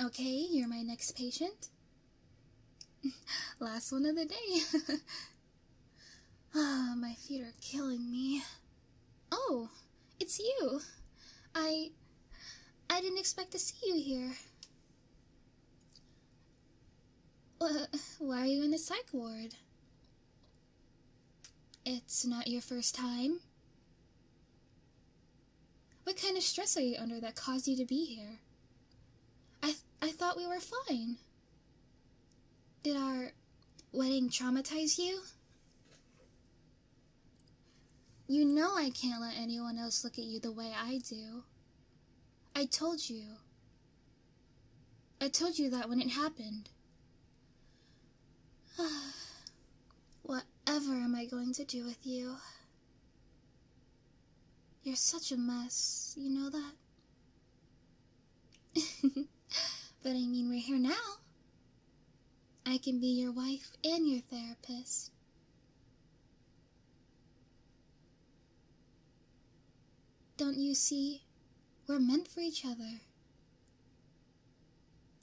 Okay, you're my next patient. Last one of the day. Ah, my feet are killing me. Oh, it's you. I. I didn't expect to see you here. why are you in the psych ward? It's not your first time. What kind of stress are you under that caused you to be here? I, I thought we were fine. Did our wedding traumatize you? You know I can't let anyone else look at you the way I do. I told you. I told you that when it happened. Whatever am I going to do with you? You're such a mess, you know that? but I mean, we're here now. I can be your wife and your therapist. Don't you see? We're meant for each other.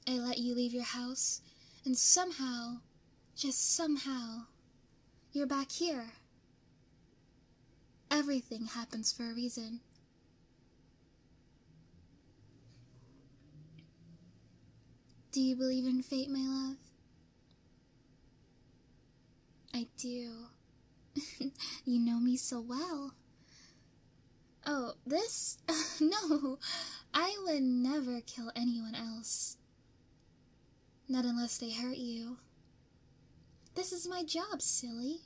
I let you leave your house, and somehow, just somehow, you're back here. Everything happens for a reason. Do you believe in fate, my love? I do. you know me so well. Oh, this? no, I would never kill anyone else. Not unless they hurt you. This is my job, silly.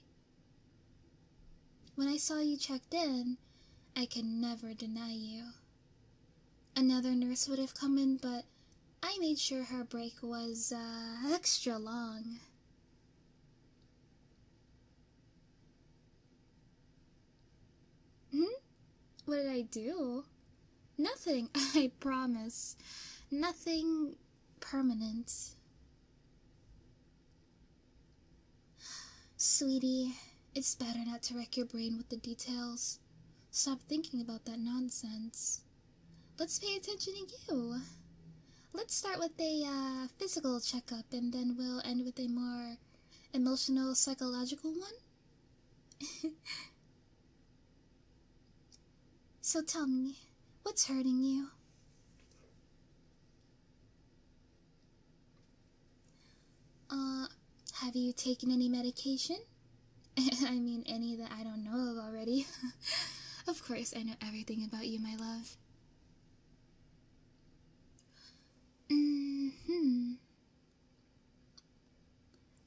When I saw you checked in, I could never deny you. Another nurse would have come in, but I made sure her break was, uh, extra long. Hmm? What did I do? Nothing, I promise. Nothing permanent. Sweetie, it's better not to wreck your brain with the details. Stop thinking about that nonsense. Let's pay attention to you. Let's start with a uh, physical checkup and then we'll end with a more emotional psychological one? so tell me, what's hurting you? Uh, have you taken any medication? I mean, any that I don't know of already. of course, I know everything about you, my love. Mm hmm.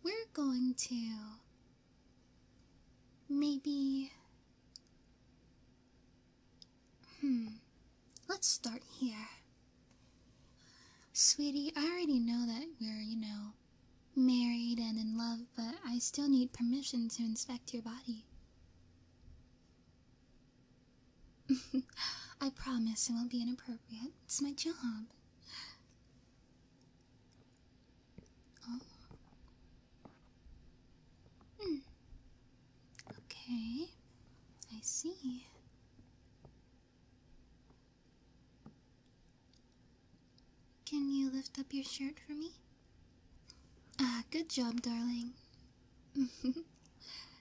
We're going to maybe. Hmm. Let's start here. Sweetie, I already know that we're, you know, married and in love, but I still need permission to inspect your body. I promise it won't be inappropriate. It's my job. Oh. Mm. Okay, I see. Can you lift up your shirt for me? Ah, good job, darling.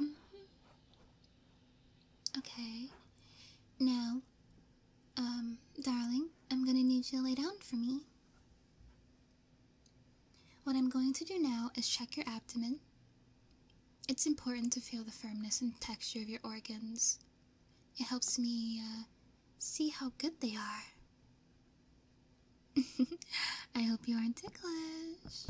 Mm-hmm. Okay. Now, um, darling, I'm gonna need you to lay down for me. What I'm going to do now is check your abdomen. It's important to feel the firmness and texture of your organs it helps me uh, see how good they are. I hope you aren't ticklish.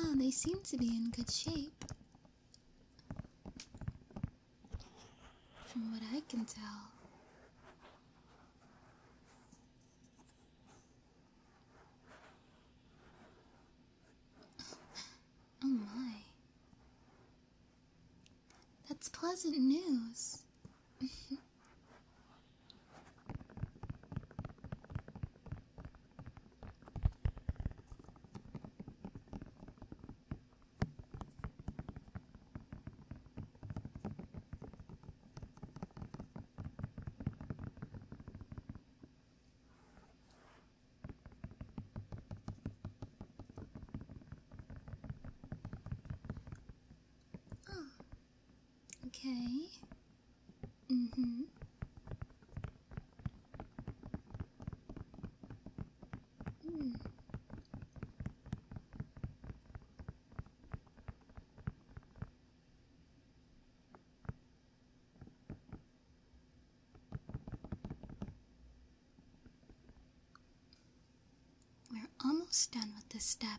oh, they seem to be in good shape. From what I can tell. Oh my. That's pleasant news. Oh, okay. Mm-hmm. mm hmm we're almost done with this step.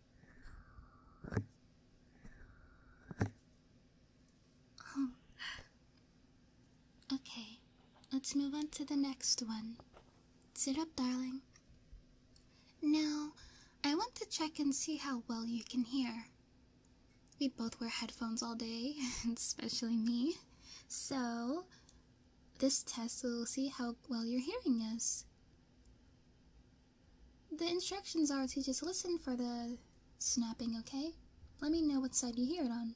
Oh. Okay, let's move on to the next one. Sit up, darling. Now, I want to check and see how well you can hear. We both wear headphones all day, especially me. So, this test will see how well your hearing is. The instructions are to just listen for the snapping, okay? Let me know what side you hear it on.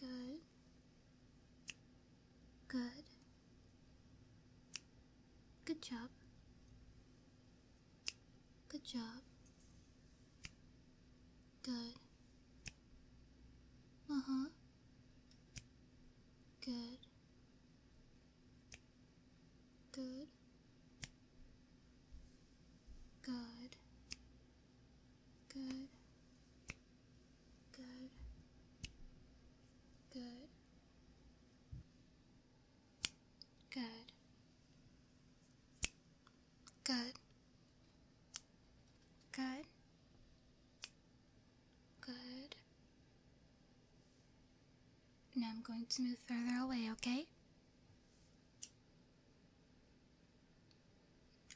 Good. Good. Good job. Good job. Good. Uh huh. Good. Good. Good. Good. Good. Good. Good. Good. Good. Good. Now I'm going to move further away, okay?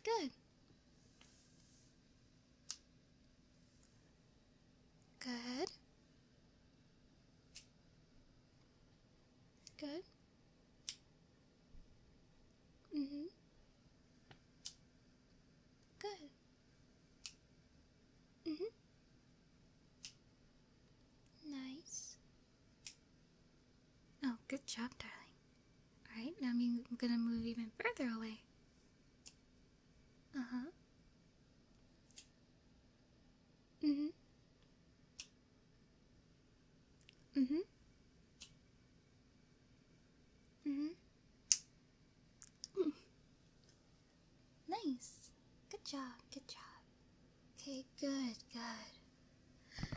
Good. Good. Good. hmm Good. hmm Nice. Oh, good job, darling. Alright, now I'm gonna move even further away. Uh huh. Uh huh. Uh huh. Uh huh. nice. Good job, good job. Okay, good, good.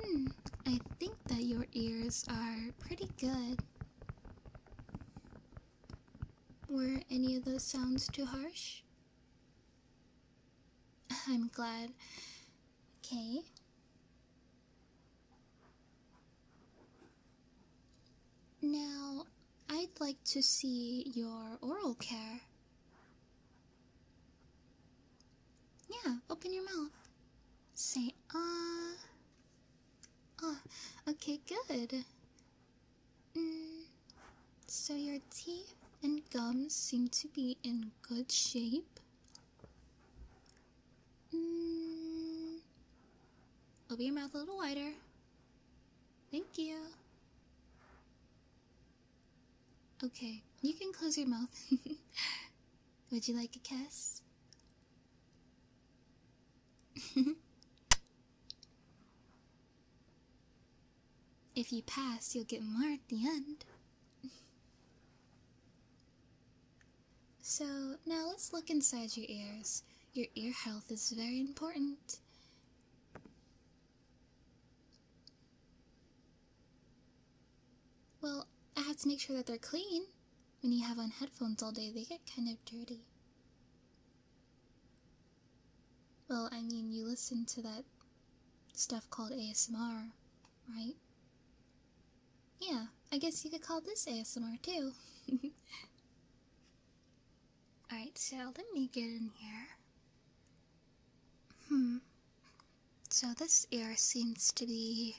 Hmm, I think that your ears are pretty good. Were any of those sounds too harsh? I'm glad. Okay. Now, I'd like to see your oral care. Yeah, open your mouth. Say ah. Ah, okay, good. Mm, so your teeth and gums seem to be in good shape. Mm, open your mouth a little wider. Thank you. Okay, you can close your mouth. Would you like a kiss? if you pass, you'll get more at the end. so, now let's look inside your ears. Your ear health is very important. Well, I have to make sure that they're clean. When you have on headphones all day, they get kind of dirty. Well, I mean, you listen to that stuff called ASMR, right? Yeah, I guess you could call this ASMR too. Alright, so let me get in here. Hmm. So this ear seems to be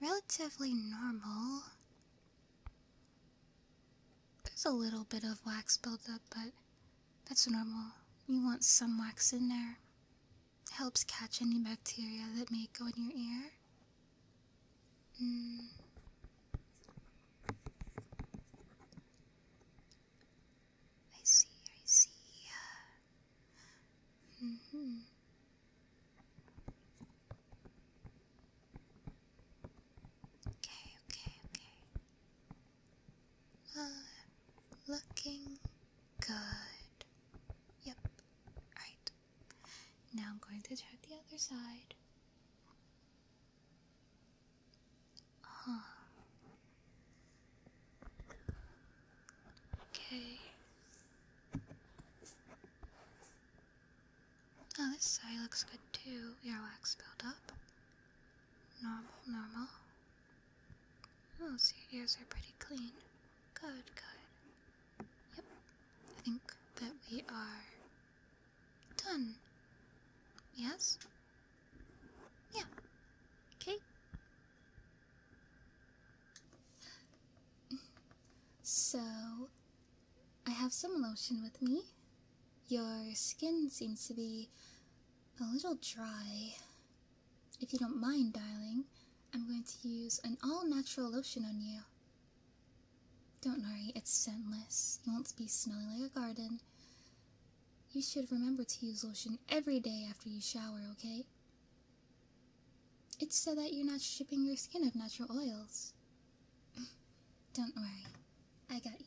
relatively normal. There's a little bit of wax buildup, but that's normal. You want some wax in there. helps catch any bacteria that may go in your ear. Mm. I see, I see. Mm hmm. Okay, okay, okay. Uh, looking good. Yep. Alright. Now I'm going to check the other side. Okay. Oh, this side looks good too. Earwax wax buildup? Normal, normal. Oh, so your ears are pretty clean. Good, good. Yep. I think that we are Done. Yes? Yeah. Okay. So, I have some lotion with me. Your skin seems to be a little dry. If you don't mind, darling, I'm going to use an all natural lotion on you. Don't worry, it's scentless. You won't be smelling like a garden. You should remember to use lotion every day after you shower, okay? It's so that you're not stripping your skin of natural oils. Don't worry, I got you.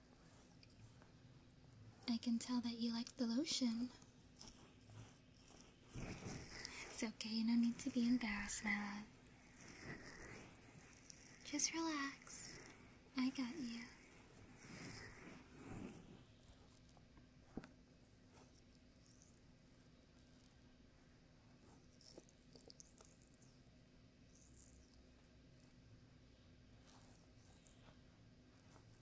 I can tell that you like the lotion. It's okay, no need to be embarrassed, my love. Just relax. I got you.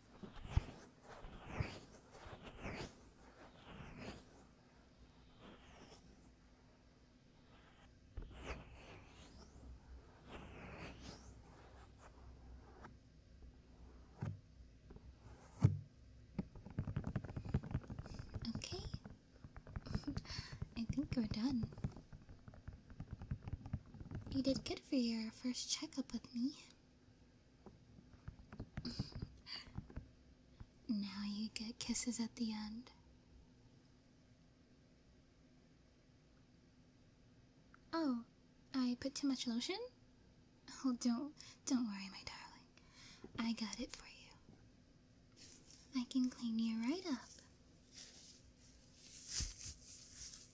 Okay. I think we're done. You did good for your first checkup with me. Now you get kisses at the end. Oh, I put too much lotion? Oh, don't, don't worry, my darling. I got it for you. I can clean you right up.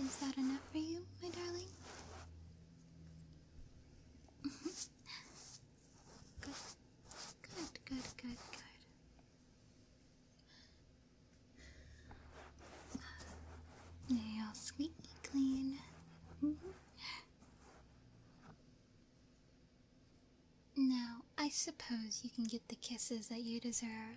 Is that enough for you, my darling? good, good, good, good, good. They all squeaky clean. Mm-hmm. now, I suppose you can get the kisses that you deserve.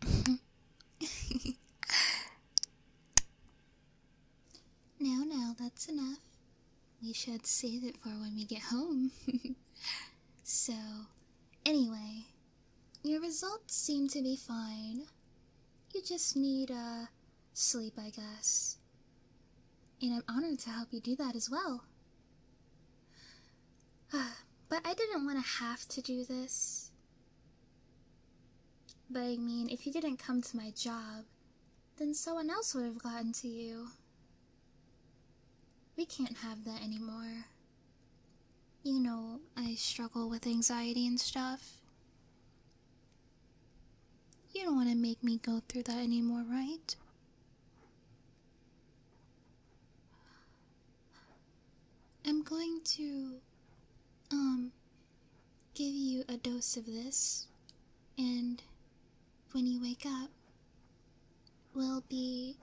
now, now, that's enough. We should save it for when we get home. so, anyway, your results seem to be fine. You just need, a uh, sleep, I guess. And I'm honored to help you do that as well. Uh, but I didn't want to have to do this. But I mean, if you didn't come to my job, then someone else would have gotten to you. We can't have that anymore. You know, I struggle with anxiety and stuff. You don't want to make me go through that anymore, right? I'm going to, um, give you a dose of this, and when you wake up, we'll be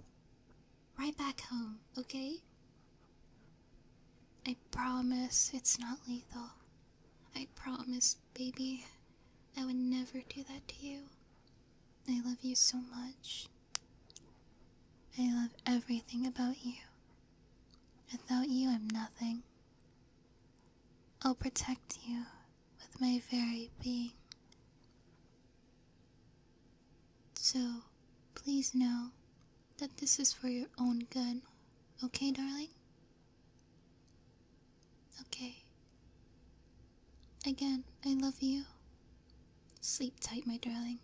right back home, okay? I promise it's not lethal. I promise baby. I would never do that to you. I love you so much. I love everything about you. Without you, I'm nothing. I'll protect you with my very being. So, please know that this is for your own good, okay, darling? Okay. Again, I love you. Sleep tight, my darling.